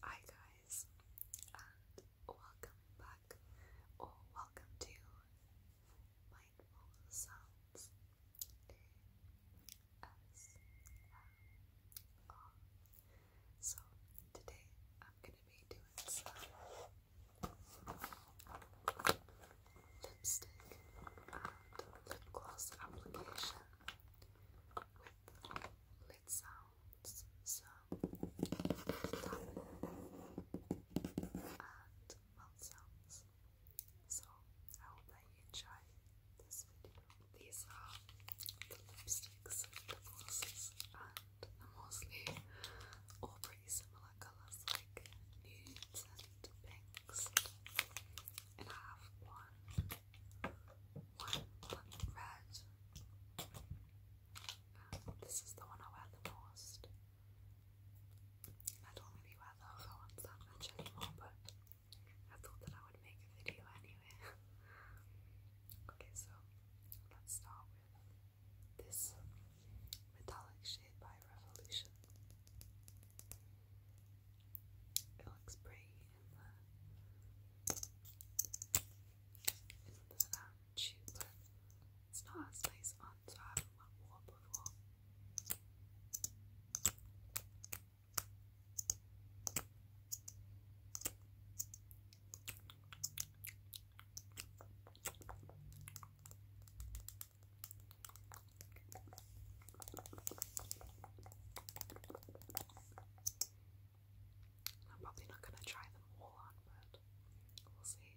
Hi guys, and welcome back, or welcome to Mindful Sounds um, So today I'm gonna be doing lipstick and lip gloss application. Let's sounds some and mouth sounds. So I hope that you enjoy this video. These are the lipsticks, the glosses, and mostly all pretty similar colours like nudes and pinks. And I have one one red. this is the one I wear the most. I don't really wear the other ones that much anymore, but I thought that I would make a video anyway. okay, so let's start with this metallic shade by Revolution. It looks pretty in the in the um, but it's not as nice on, so I haven't went wall before. I'm probably not going to try them all on, but we'll see.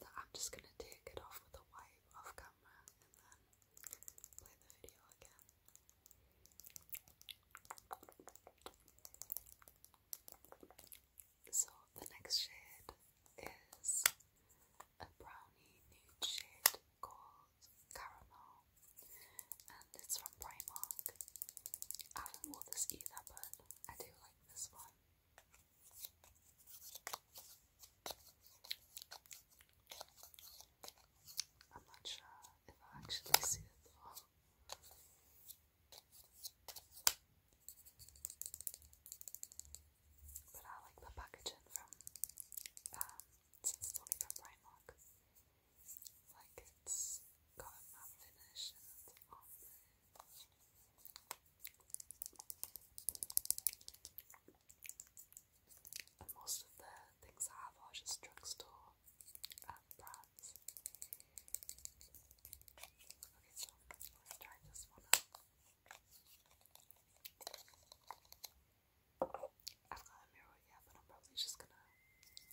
And I'm just going to take it off with a wipe off camera and then so the next shade is a brownie nude shade called Caramel and it's from Primark. I haven't worn this either but I do like this one. I'm not sure if I actually see it But I like the packaging from um it's from Primark. Like it's got matte finish and it's on most of the things I have are just drugstore um, brands. Okay, let's try this one I've got a mirror yet, but I'm probably just gonna look at the camera.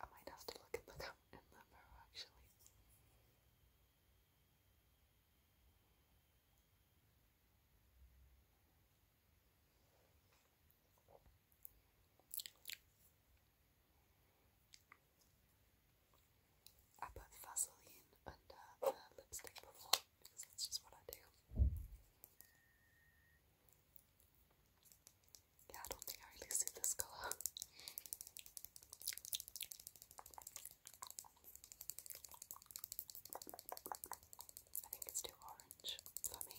I might have to look at the in the mirror actually. I put Vaseline under the lipstick before because that's just what I do. Yeah, I don't think I really see this colour. I think it's too orange for me.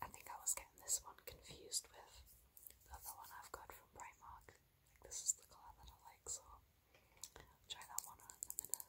I think I was getting this one confused with the other one I've got from Primark. this is the colour that I like, so try that one on in a minute.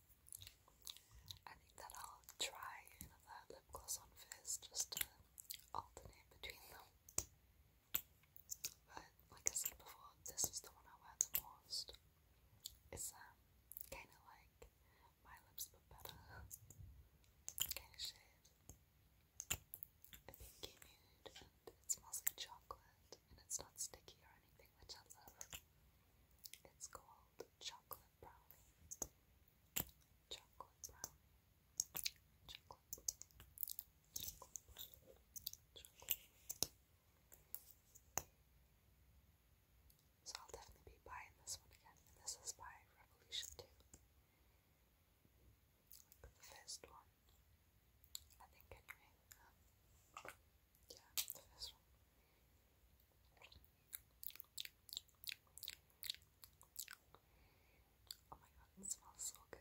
I think that I'll try another lip gloss on first just to alternate between them. But like I said before, this is the one I wear the most. It's um kinda like my lips but better. Kinda shade. A pinky nude and it smells like chocolate and it's not sticky or anything which I love. It's called chocolate brownie chocolate brown, chocolate, chocolate, chocolate. So I'll definitely be buying this one again, and this is by Revolution 2. the first one, I think, anyway. yeah, the first one. Oh my god, it smells so good.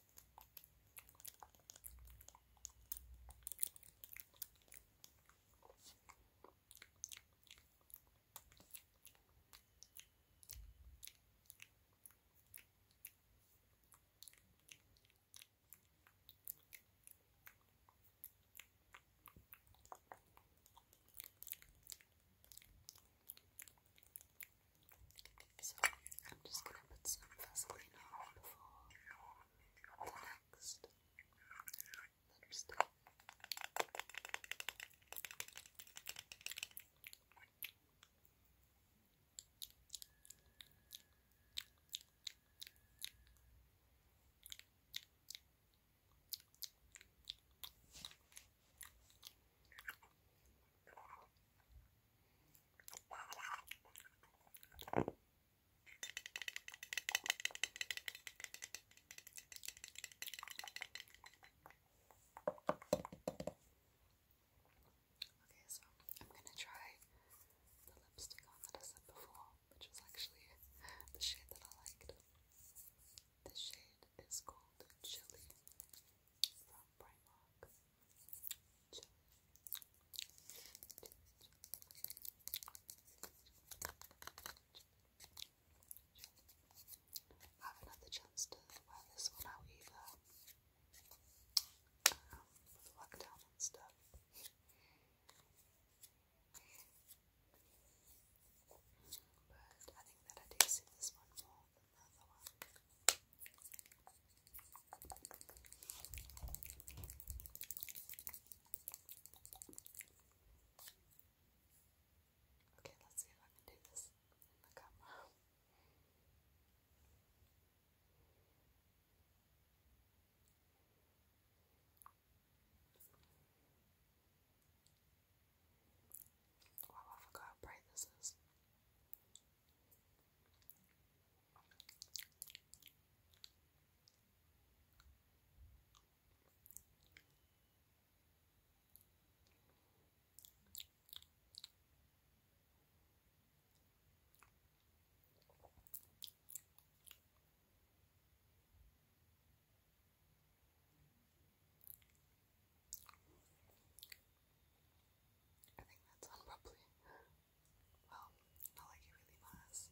So I'm just gonna put some Vaseline on before next letter Okay, so I'm gonna try the lipstick on that I said before, which was actually the shade that I liked. The shade is called Chili from Primark. I haven't chance to wear this one out either um, with the lockdown and stuff. But I think that I do see this one more than the other one. Okay, let's see if I can do this in the camera. Wow, I how bright this is. I think that's on well, not like it really was.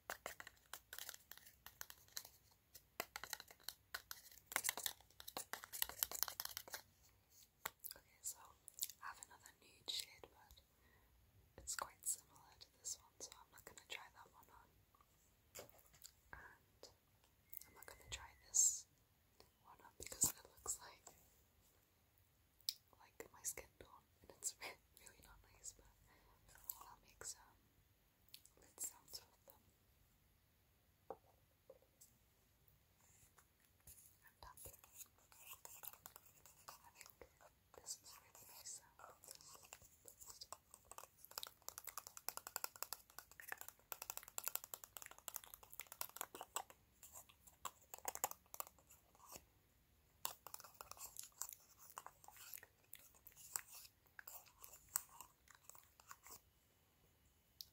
Okay, so I have another nude shade, but it's quite similar to this one, so I'm not going to try that one on. And I'm not going to try this one on because it looks like like my skin tone and it's really not nice, but I'll make some lid sounds with them. I'm done here. I think this is really nice sound. I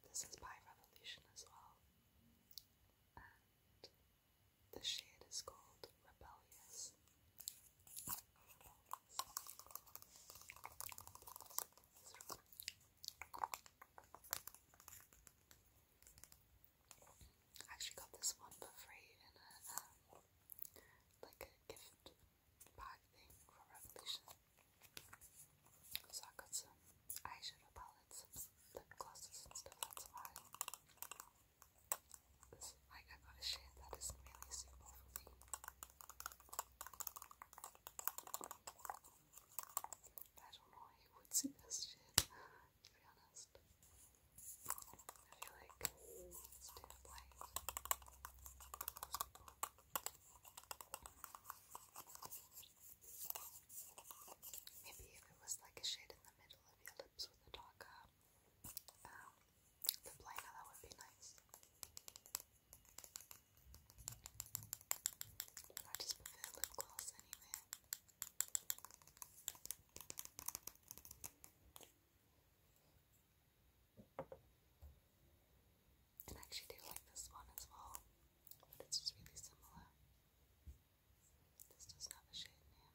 this is by Revolution as well, and the shade is called Rebellious. I actually got this one for free in a um, like a gift bag thing from Revolution. So I got some eyeshadow palettes, lip glosses and stuff that's why. I got a shade that is really suitable for me. I don't know who would see this shade, to be honest. I feel Maybe if it was like a shade in the middle of your lips with a darker um, lip that would be nice. I just prefer lip gloss anyway. And I actually do like this one as well, but it's just really similar. This doesn't have a shade in here.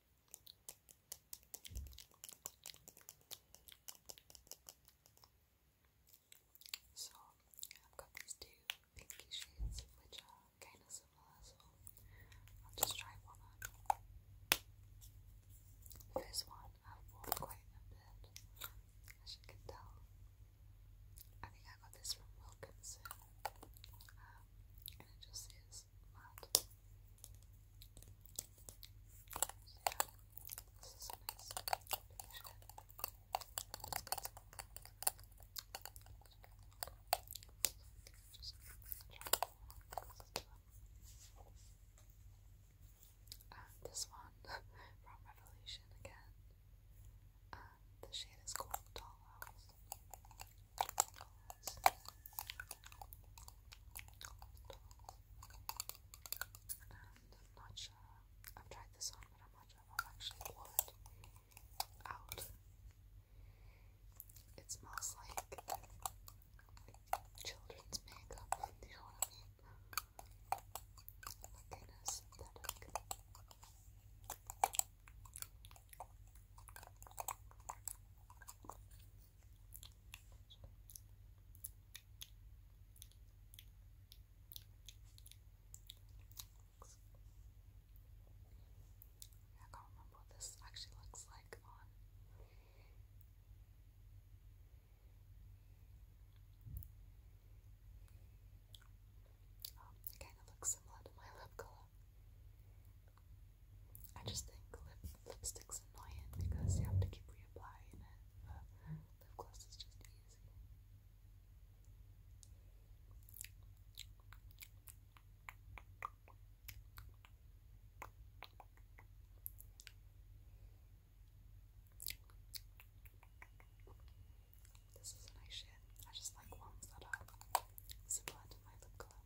So I've got these two pinky shades which are kind of similar, so I'll just try one on. The first one I've worn quite a bit, as you can tell. I think I got this from Wilkinson, um, and it just says is mad. this one from Revolution again. Um, the shade is called Dollhouse i have tried this on, but I'm not sure if i actually worn out. It smells like children's makeup, you know what I mean? Luckiness, synthetic. I can't remember what this actually looks like on. Oh, it kind of looks similar to my lip color. I just think lip lipstick's annoying because you have to keep reapplying it, but lip gloss is just easy. This is nice shade. I just like ones that are similar to my lip color.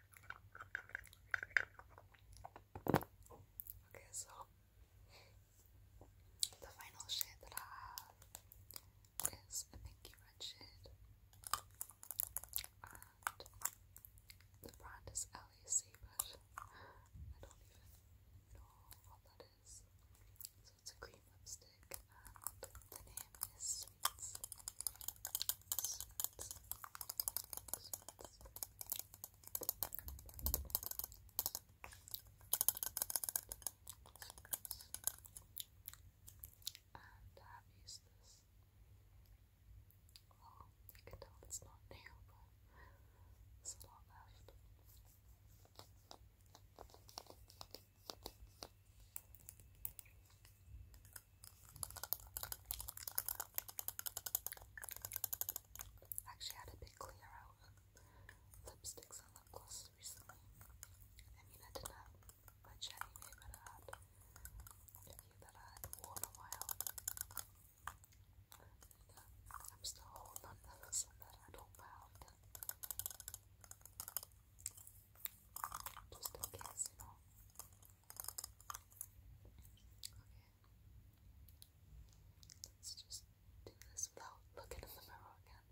Okay, so the final shade that I have is a pinky red shade, and the brand is LAC, but I don't even know what that is. So it's a cream lipstick, and the name is and I've used this. Well, you can tell it's not new, but there's a lot left. Actually, had a big clear out of lipsticks and lip glosses recently. I mean, I didn't have much anyway, but that I hadn't a while. I'm still holding on to some that I don't wear Just in case, you Okay. Let's just do this without looking in the mirror again.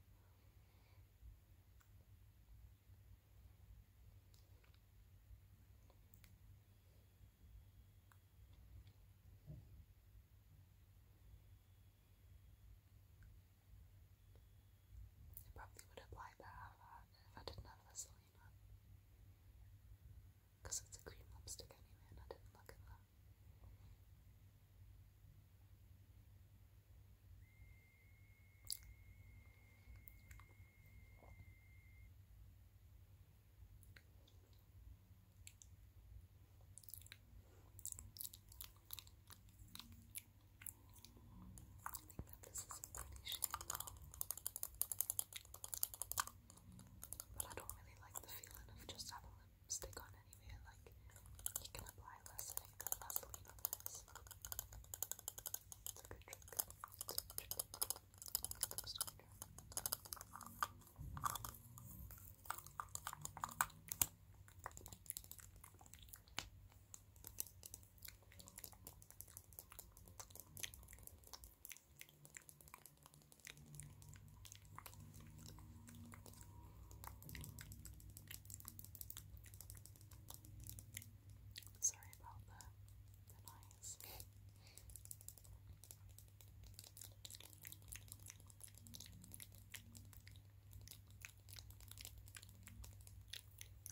It probably would apply better if I didn't have this one. Because it's a cream lipstick anyway, I didn't look at that this is a pretty shade though. But I don't really like the feeling of just having lipstick on anyway. Like, you can apply less and than Vaseline Sorry about the the noise.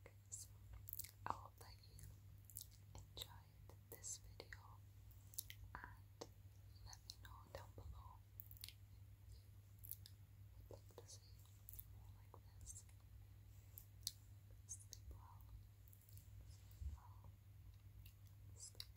Okay, so I hope that you enjoyed this video and let me know down below if you would like to see more like this.